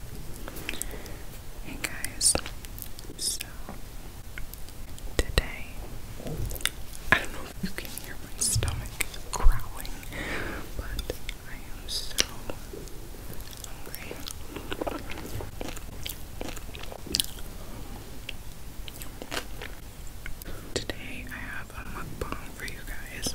Hey guys, so today I don't know if you can hear my stomach growling, but I am so hungry. Today I have a mukbang for you guys.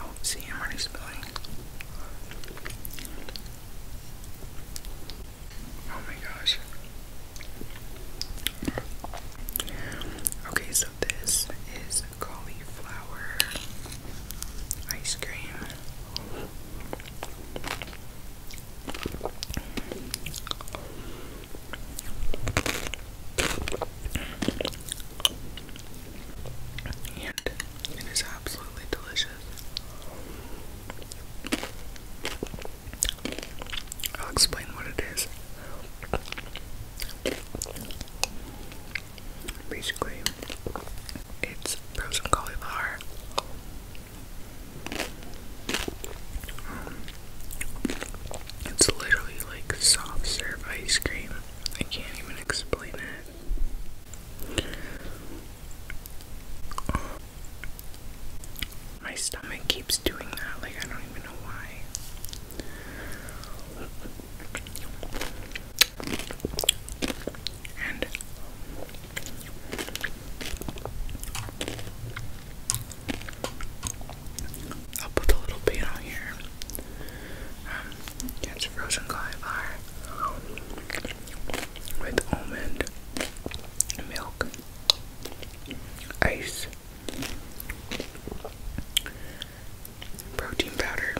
Oh, see, I'm already spilling. Oh my gosh. Okay, so this is cauliflower ice cream. It is absolutely delicious. I'll explain what it is. Basically, it's frozen cauliflower. Um, it's literally like soft serve ice cream. I can't even explain it. My stomach keeps doing that, like, I don't even know why. And I'll put a little bit on here it's frozen cauliflower with almond milk, ice, protein powder.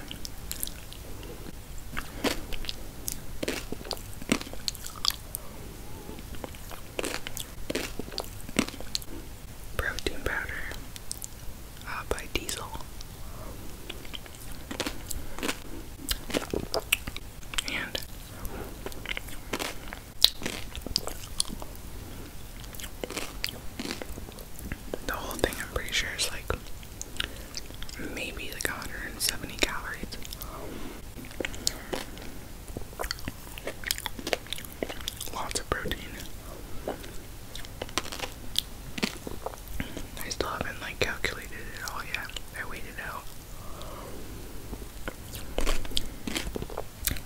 Protein powder uh, by Diesel. And the whole thing, I'm pretty sure, is like maybe like seventy calories. Lots of protein. I still haven't like calculated it all yet. I waited out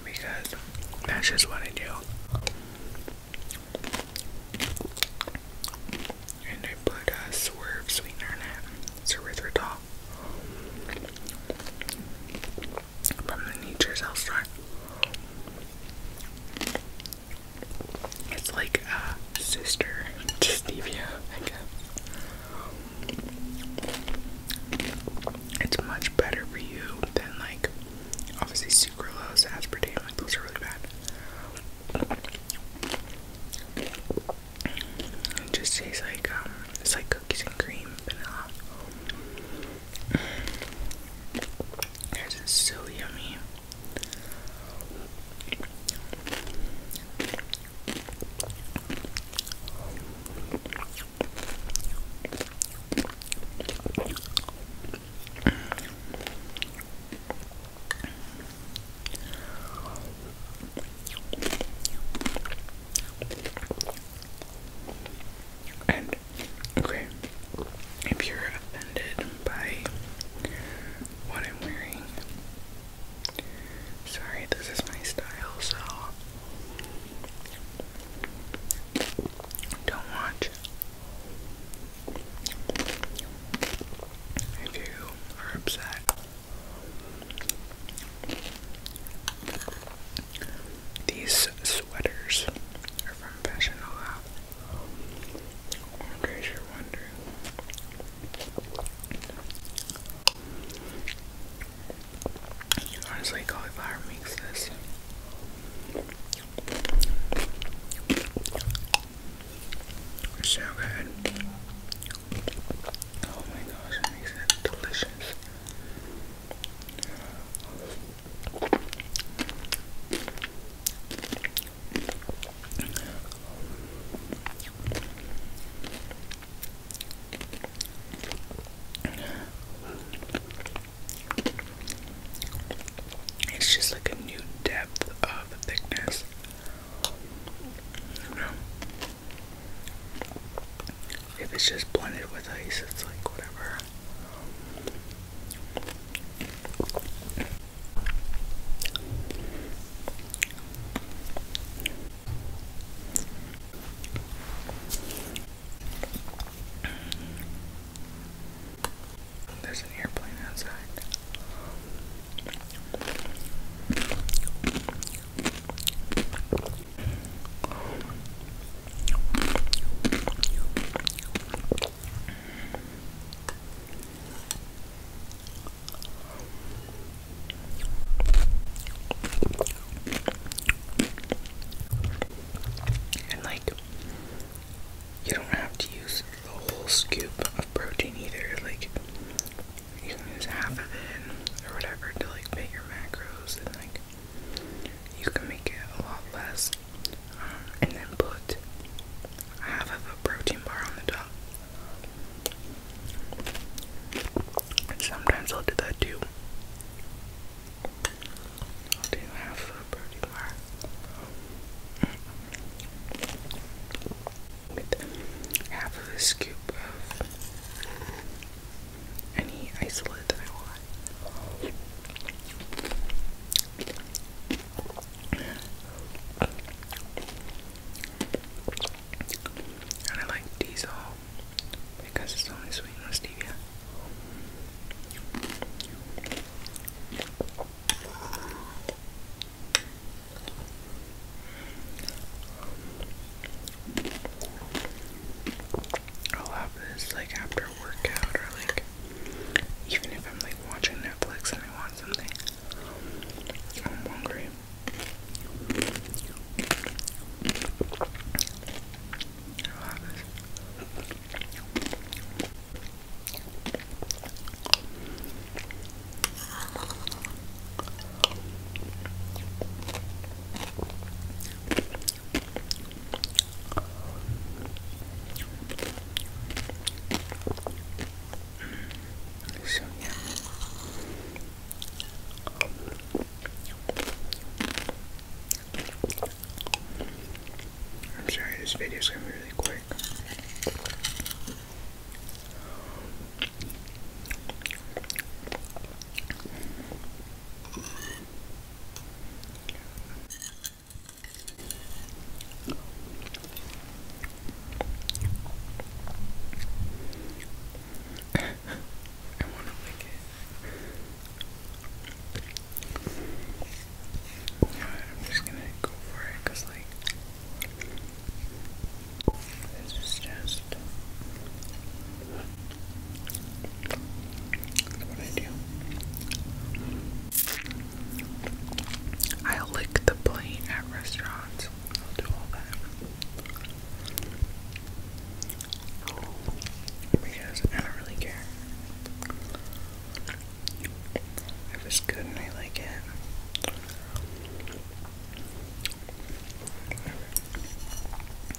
because that's just what I do. And I put a swerve sweetener in it. It's from the Nature's Health Store. It's like a sister to stevia, It's much better for you than like obviously sucralose, aspartame, like those are really bad. It just tastes like um, it's like cookies and cream, vanilla. This is so yummy. And Okay. If you're offended by what I'm wearing, sorry, this is my style, so don't watch. If you are upset, these sweaters are professional app, in case you're wondering. Honestly, cauliflower makes this. so good. Oh my gosh, it makes it delicious. Uh, it's just like a new depth of thickness. If it's just blended with ice, it's like whatever hair. There's an airplane outside. And like, you don't have to use the whole scoop of protein either. Like, you can use half of it or whatever to like make your macros and like you can make it a lot less. Um, and then put half of a protein bar on the top. sometimes I'll do that too. half a protein bar. With half a scoop of any isolate that I want. And I like diesel because it's only sweetened with stevia. I'll have this like after workout or like even if I'm like watching Netflix and I want something. I'm hungry. I'm sorry, this video is gonna be really quick. I want to lick it. Yeah, I'm just gonna go for it like, this is just I do. lick the plate at restaurants. I'll do all that. Because I don't really care. If it's good and I like it.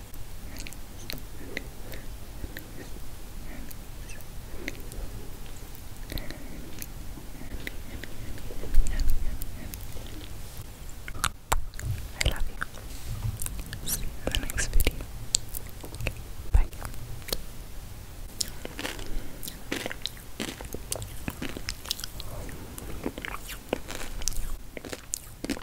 I love you. See you in the next video. Bye.